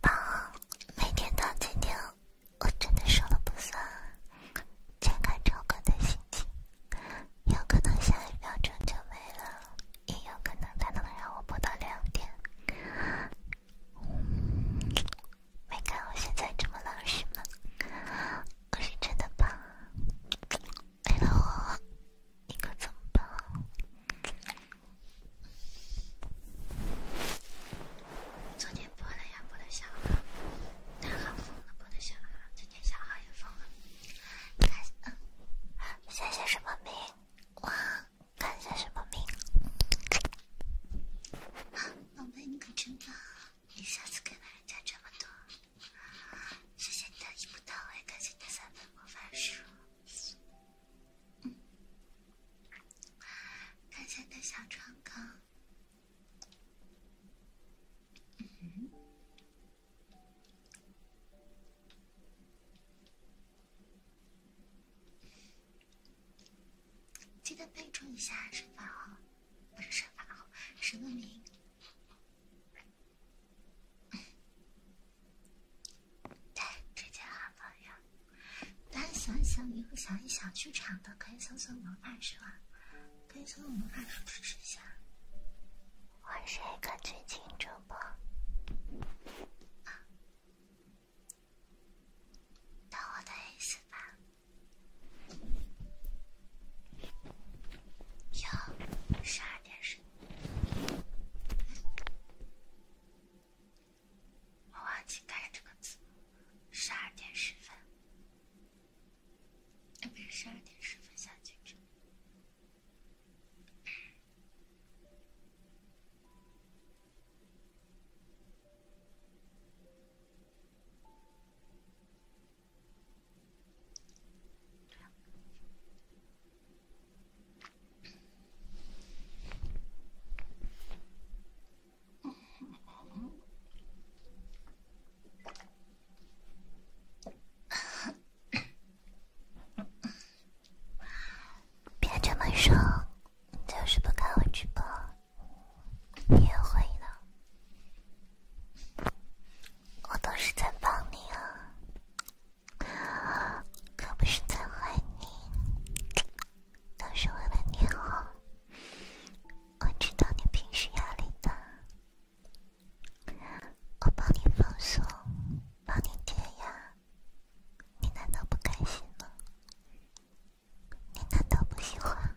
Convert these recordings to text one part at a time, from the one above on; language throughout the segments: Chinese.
宝，每天到今天，我真的说了不算，全看超哥的心情。有可能下一秒钟就没了，也有可能他能让我播到两点。没看我现在这么老实吗？我是真的胖。为了我，你可怎么办？昨天播了，呀，播的小号，大号封了，播的小号，今天小号也封了。看，嗯，看什么名？哇，看什么名？老妹你可真棒，你下次给老人家这么多，谢谢你的一步到位，感谢你三本魔法书，嗯，感谢你小床高。记得备注一下身份号，不是身份号，身份名。对，直接好朋友。大家想一想，以后想一想剧场的，可以搜索魔法书啊！可以搜索魔法书支持一下。我是一个剧情主播，懂我的意思吧？有十二点十分，我忘记改这个字，十二点十分。哎，不是，十二点十分下机票。别这么说，就是不看我直播，你也会的。我都是在帮你啊，可不是在害你，都是为了你好。我知道你平时压力大。我帮你放松，帮你减压，你难道不开心吗？你难道不喜欢？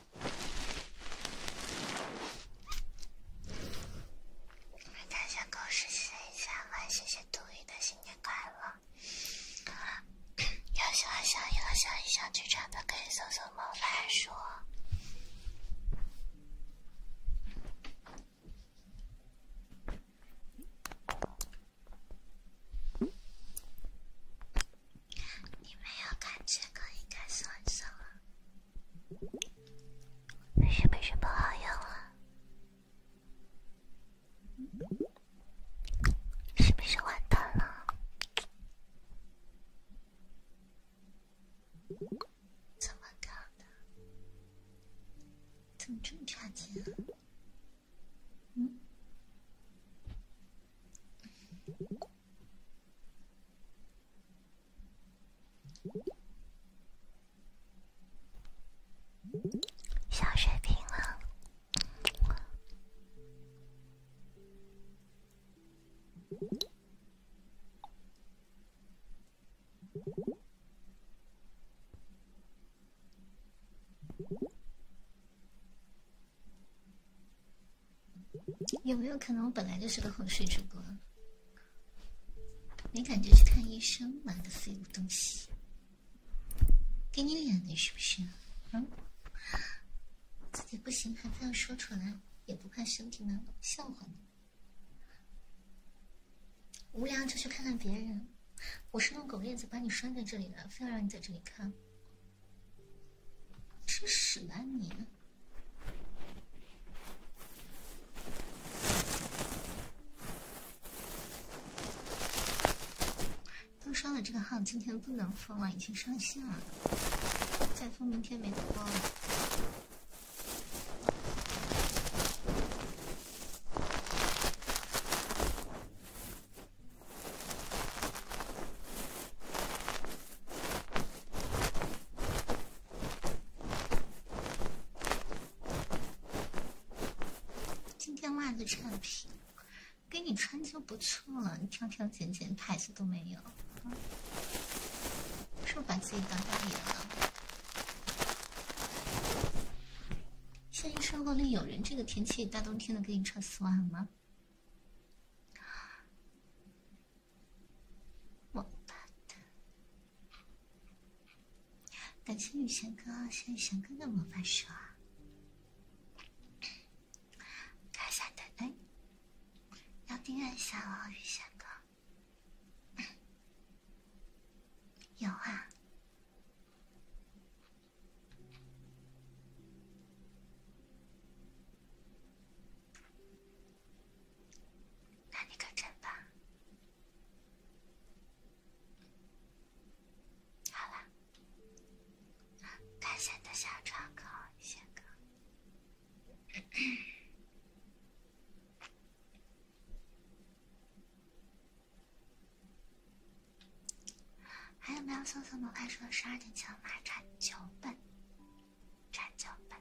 感谢狗屎写一下文，谢谢杜宇的新年快乐。要想一想，要想一想剧场的，可以搜搜猫番说。你没有感觉可以开始玩声了？是不是不好用了？是不是完蛋了？怎么搞的？怎么这么差劲啊？嗯？小水瓶了。有没有可能我本来就是个哄睡主播？没感觉去看医生，哪个废物东西？给你脸的是不是？嗯，自己不行还非要说出来，也不怕兄弟们笑话你？无聊就去看看别人。我是弄狗链子把你拴在这里的，非要让你在这里看。真是的，你！都说了这个号今天不能封了，已经上线了，再封明天没得包了。今天袜子产品，给你穿就不错了，挑挑拣拣牌子都没有，是不是把自己当大爷了？现实生活里有人这个天气大冬天的给你穿丝袜吗？魔法，感谢雨贤哥，谢谢贤哥的魔法书，卡下奶奶，要订阅一下哦，雨贤哥，有啊。那你可真棒！好了，感谢你的小可好，谢哥。还有没有搜索模块说十二点前拿成九本？传教版，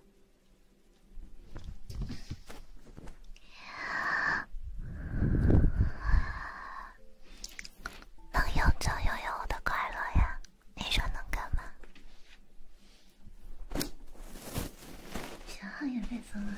能永久拥有的快乐呀？你说能干嘛？小号也被封了。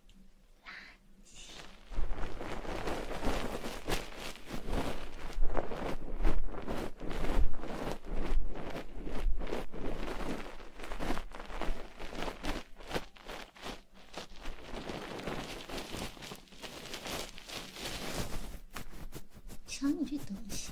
垃圾！瞧你这德行！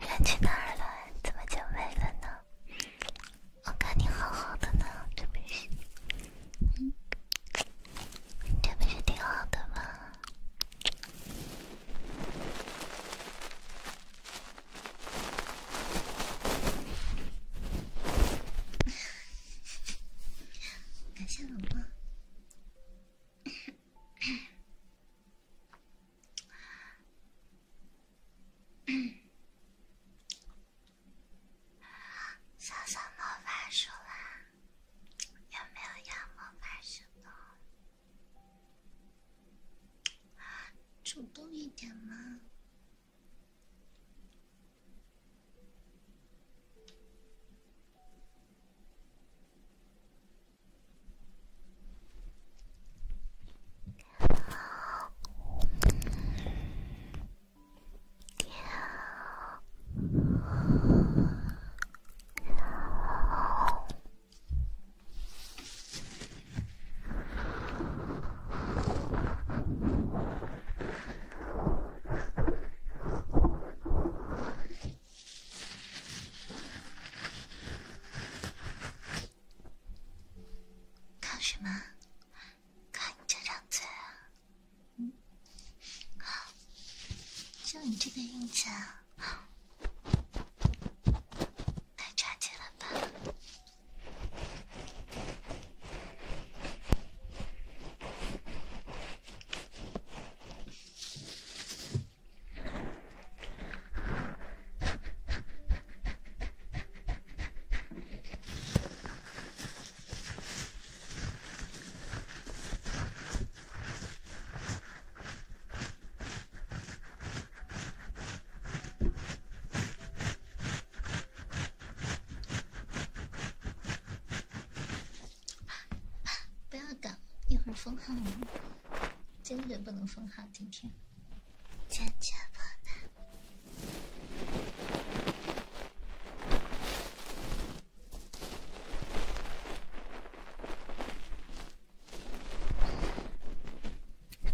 人去哪了？怎么就没了呢？我看你好好的呢，这不是，这不是挺好的吗？感谢老爸。小小魔法书啦，有没有要魔法书的？主动一点吗？靠什么？靠你这张嘴啊！嗯，就你这个运气啊！太差劲了吧！不要搞，一会儿封号！坚决不能封号，今天坚决不能。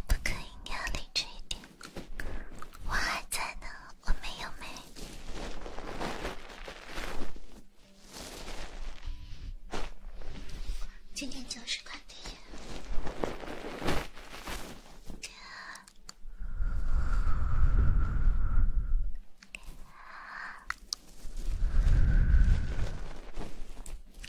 不可以，你要理智一点。我还在呢，我没有没。今天九十块的烟。给啊。给啊。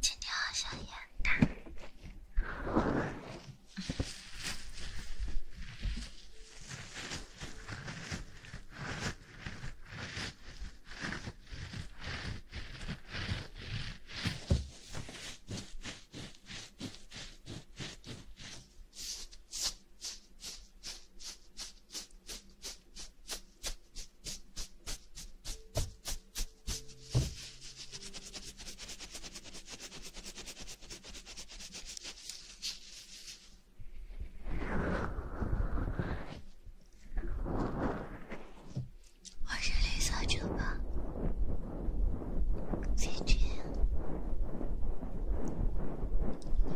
今天好像有点。我是绿色翅膀，姐姐。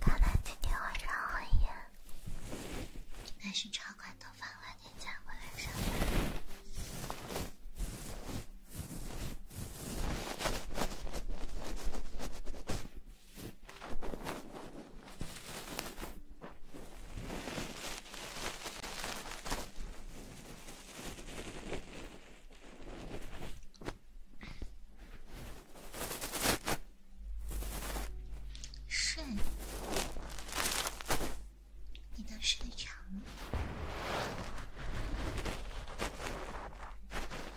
看来今天晚上很严，还是超快头发快点加回来上班。睡？你倒睡长了。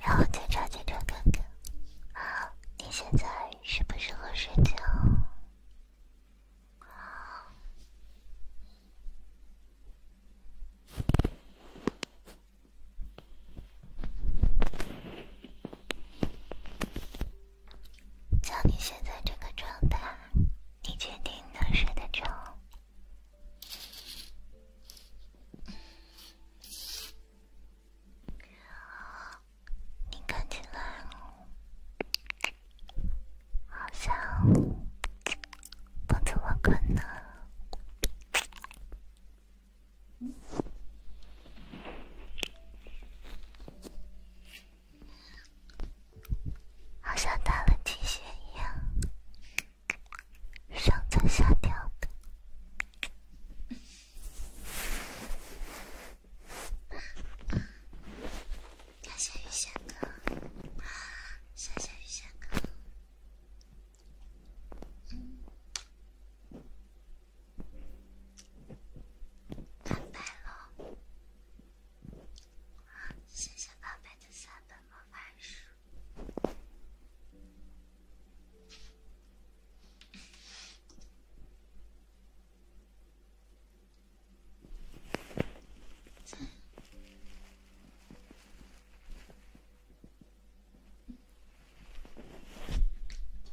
然后，警长警长哥哥，你现在适不适合睡觉？像你现在这个状态。你确定能睡得着？你看起来好像不怎么困呢。好像打了鸡血一样，上蹿下跳的。下小雨下课，下小雨下课。拜拜了。谢谢爸爸的三本魔法书，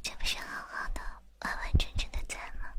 这不是好好的完完整整的赞吗？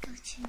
够近了。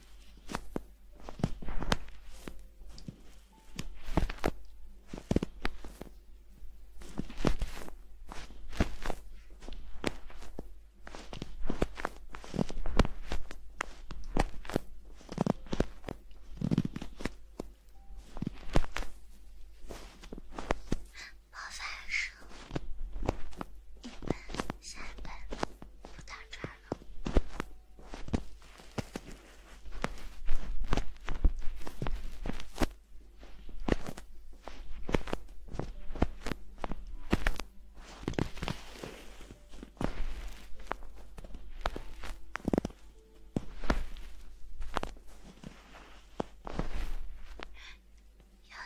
我发生，一本，下一本，不打转。永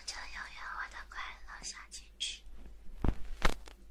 久拥有我的快乐小金鱼。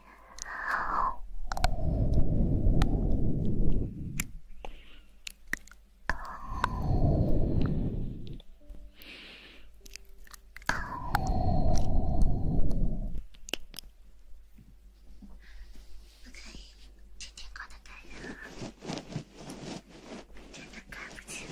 不可以，今天刮的太热了，真的看不清了。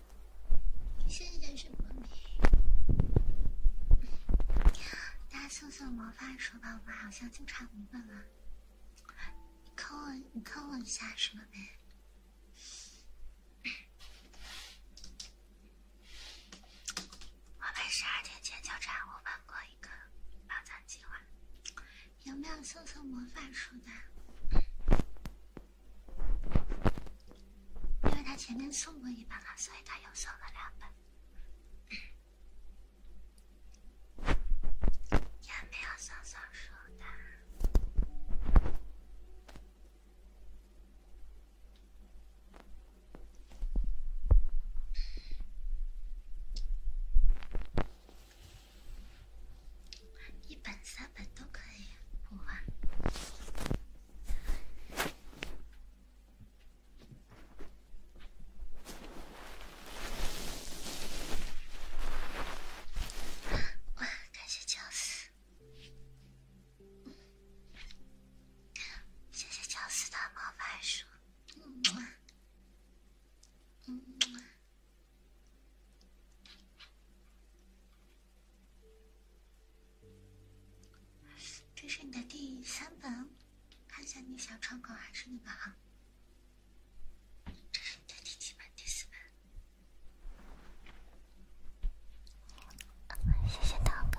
你现在什么没？大家送送魔法书吧。我们好像就差五本了。你考我，你考我一下什么没？我们十二点前就差我们过一个宝藏计划，有没有送送魔法书的？因为他前面送过一本了，所以他又送了两本，也没有送小说的，一本、三本都可以互换。哇！感谢饺子，谢谢饺子的魔法书。这是你的第三本，看一下你小窗口还是那个哈。这是你的第七本、第四本，谢谢涛哥。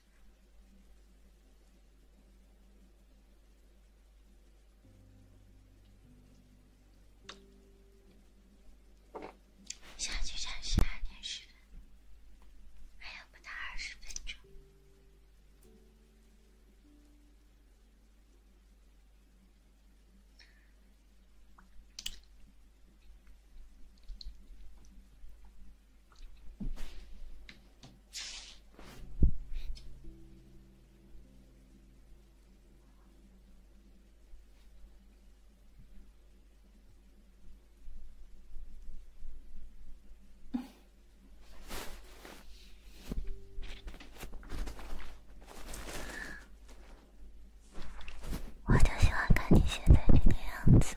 小剧场十二点十分，还有不到二十分钟。我就喜欢看你现在这个样子。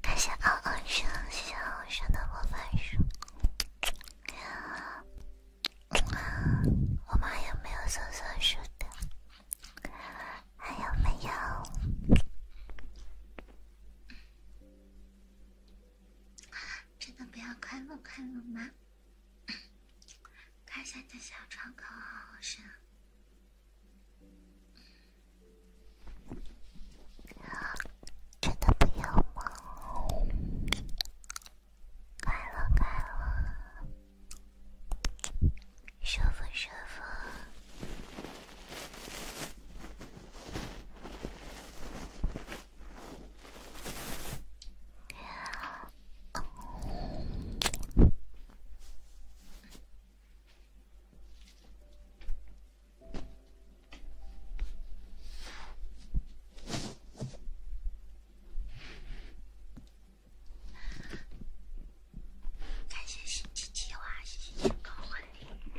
感谢嗷嗷生肖生的魔法书。我妈有没有松松鼠的？还有没有？真的不要快乐快乐吗？夸下你的小窗口好好师。真的不要吗？快乐快乐，舒服舒服。感谢新奇奇娃，谢谢新奇婚礼。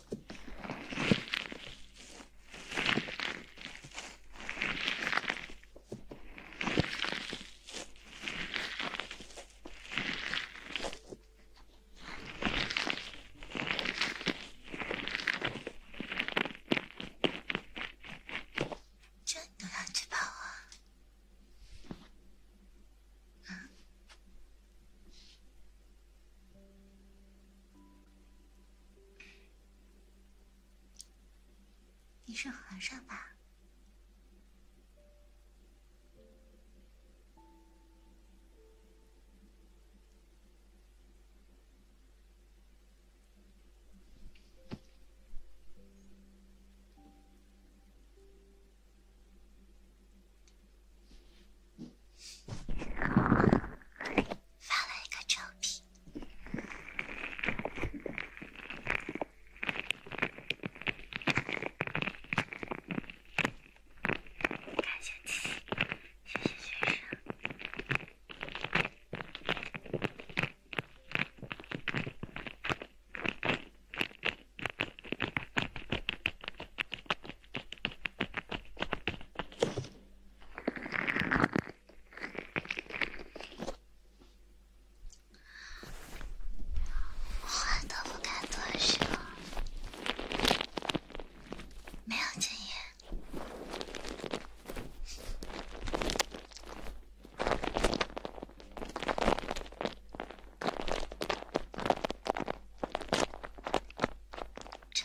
真的要去跑啊？嗯。你是和尚吧？发了一个照片，感谢七，谢谢学生。话都不敢多说，没有经验。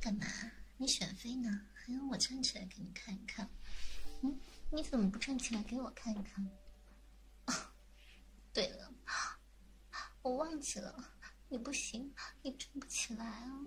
干嘛？你选妃呢？还让我站起来给你看一看？嗯，你怎么不站起来给我看一看？对了，我忘记了，你不行，你振不起来啊，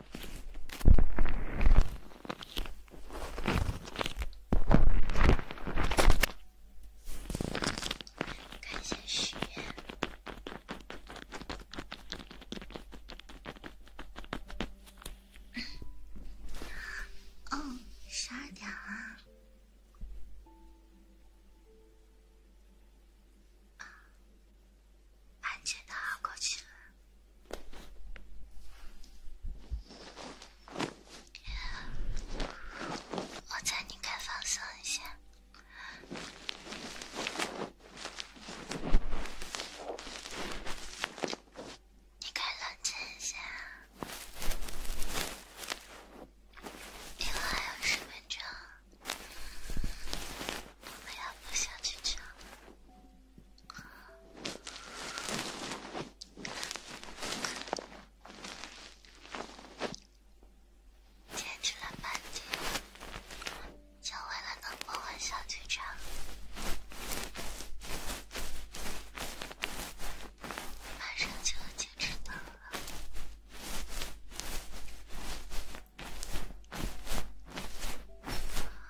看一下时间，哦，十二点啊。安静的熬过去了，我猜你该放松一下，你该冷静一下。离我还有十分钟，我们要互相去唱。坚持了半天，就为了能摸完小队长，马上就要坚持到了。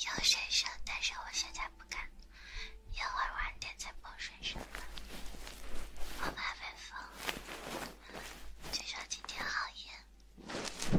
有水声，但是我现在不敢，一会儿晚点再播水声吧。好大北风，据说今天好严。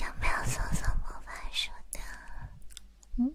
有没有搜索魔法书的？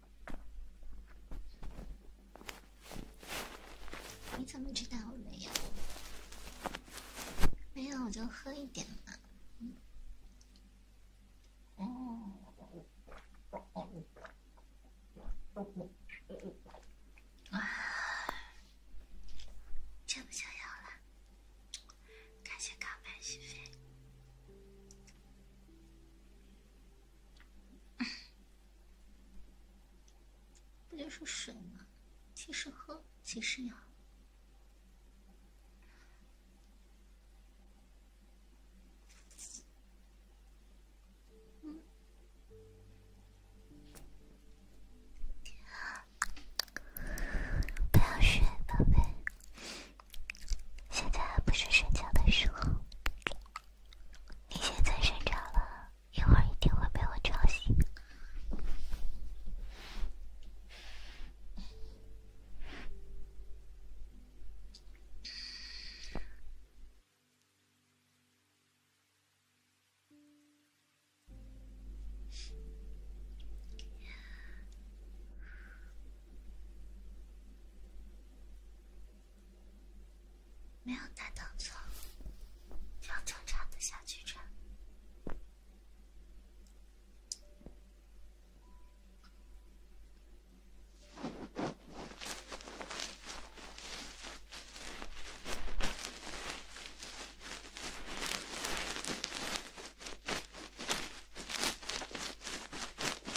你怎么知道我没有？没有，我就喝一点嘛。哦，哇，这么想要了，感谢钢板续费。不就是水吗？其实喝，其实养？嗯，不要睡，宝贝。现在还不是睡觉的时候，你现在睡着了一会儿一定会被我吵醒。没有大动作，要正常的下去穿。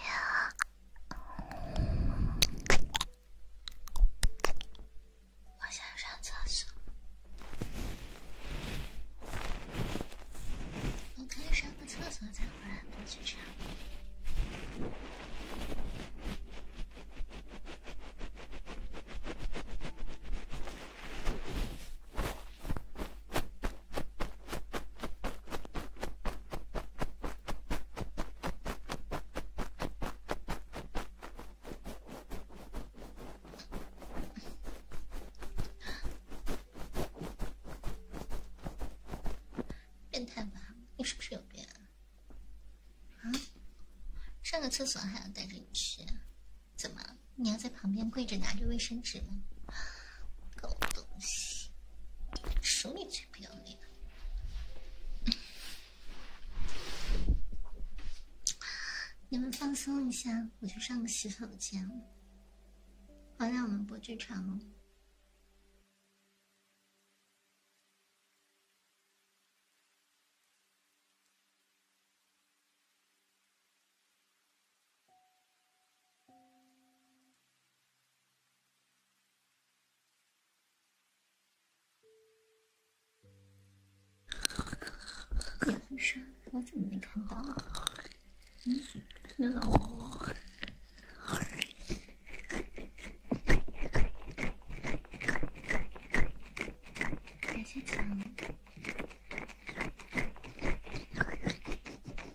呀，我想上厕所。你可以上个厕所再回来，不去查。变态吧！你是不是有病？啊？上个厕所还要带着你去？怎么？你要在旁边跪着拿着卫生纸吗？狗东西，手里最不要脸。你们放松一下，我去上个洗手间。好来我们播剧场。也我怎么没看到啊？嗯，你好。感谢参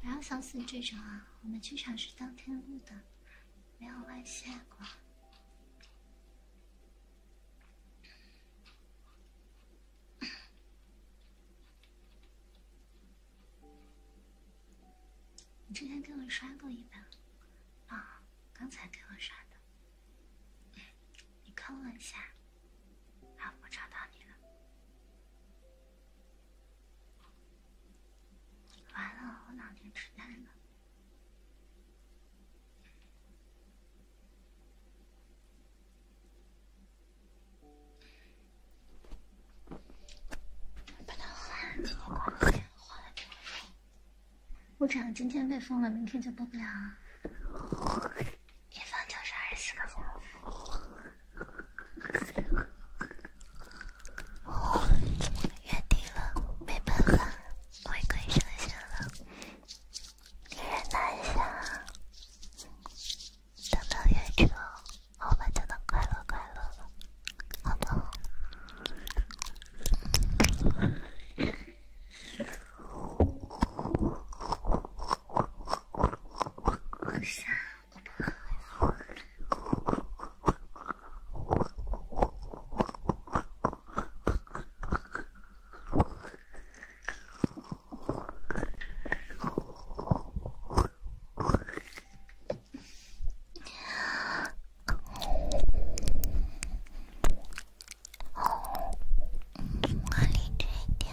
不要相信这种啊！我们剧场是当天录的，没有外泄过。你之前给我刷过一本啊？刚才给我刷的。你坑我一下，好，我找到你了。完了，我脑年痴呆了。换，我这样今天被封了，明天就播不了。一分就是二十四个小时。月底了，没办法，我也可以上线了。女人难相，等到月初，我们就能快乐快乐了，好不吗？我傻了，我把你推掉。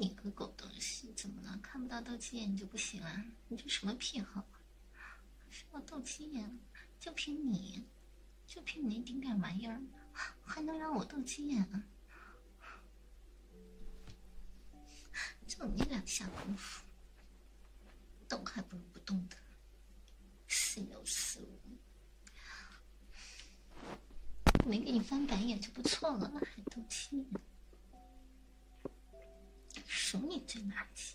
你个狗东西，怎么了？看不到斗鸡眼你就不行啊？你这什么癖好？是我斗鸡眼，就凭你，就凭你那丁点玩意儿，还能让我斗鸡眼？就你两下功夫，动还不如不动的，死有死无。没给你翻白眼就不错了，还斗鸡眼，数你最垃圾。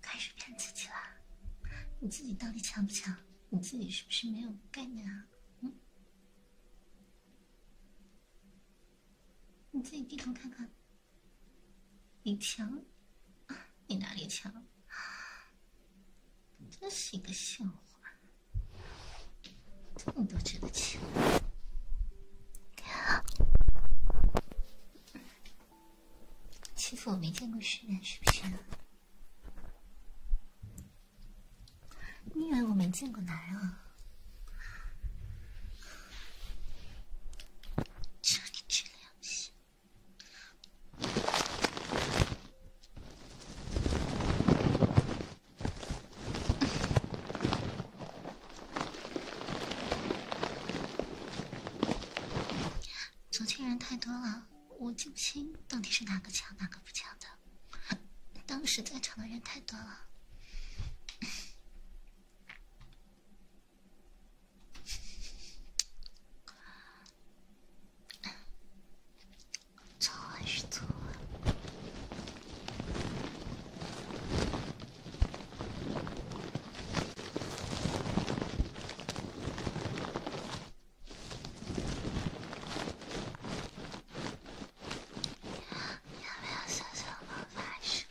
开始骗自己了，你自己到底强不强？你自己是不是没有概念啊？嗯，你自己低头看看，你强，你哪里强？真是一个笑话。这么多值得欺负，欺负我没见过世面是不是？你以为我没见过男人啊？这个良心。昨天人太多了，我记不清到底是哪个强哪个不强的。当时在场的人太多了。错是错。有没有搜索魔法师？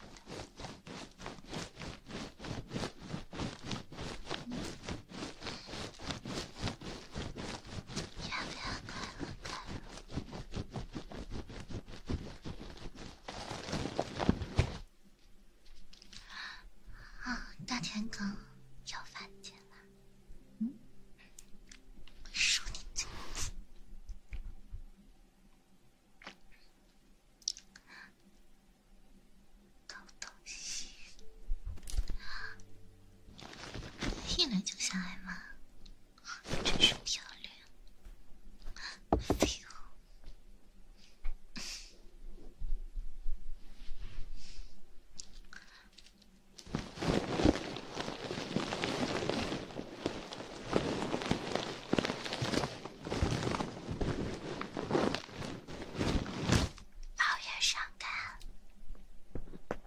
啊！大田狗又犯贱了，嗯？说你偷东西。一来就想挨骂，真是漂亮！哎呦，熬夜伤肝。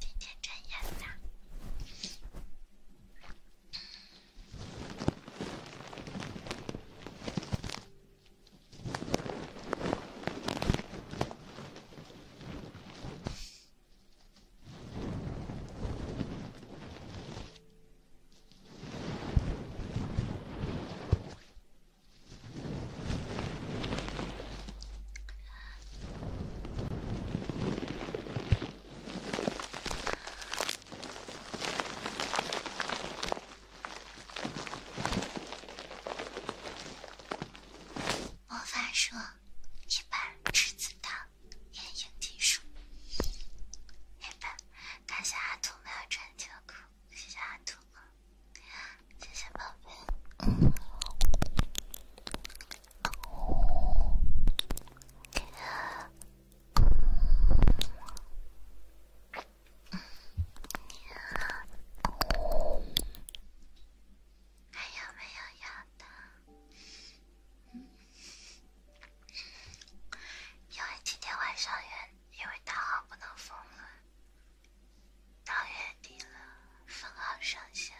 今天真严呐。魔法说：“一本《栀子糖》电影技术，一本。感谢阿兔没有穿秋裤，谢谢阿兔，谢谢宝贝。”还有没有要的？因为今天晚上原因为大号不能封了，到月底了封号上线。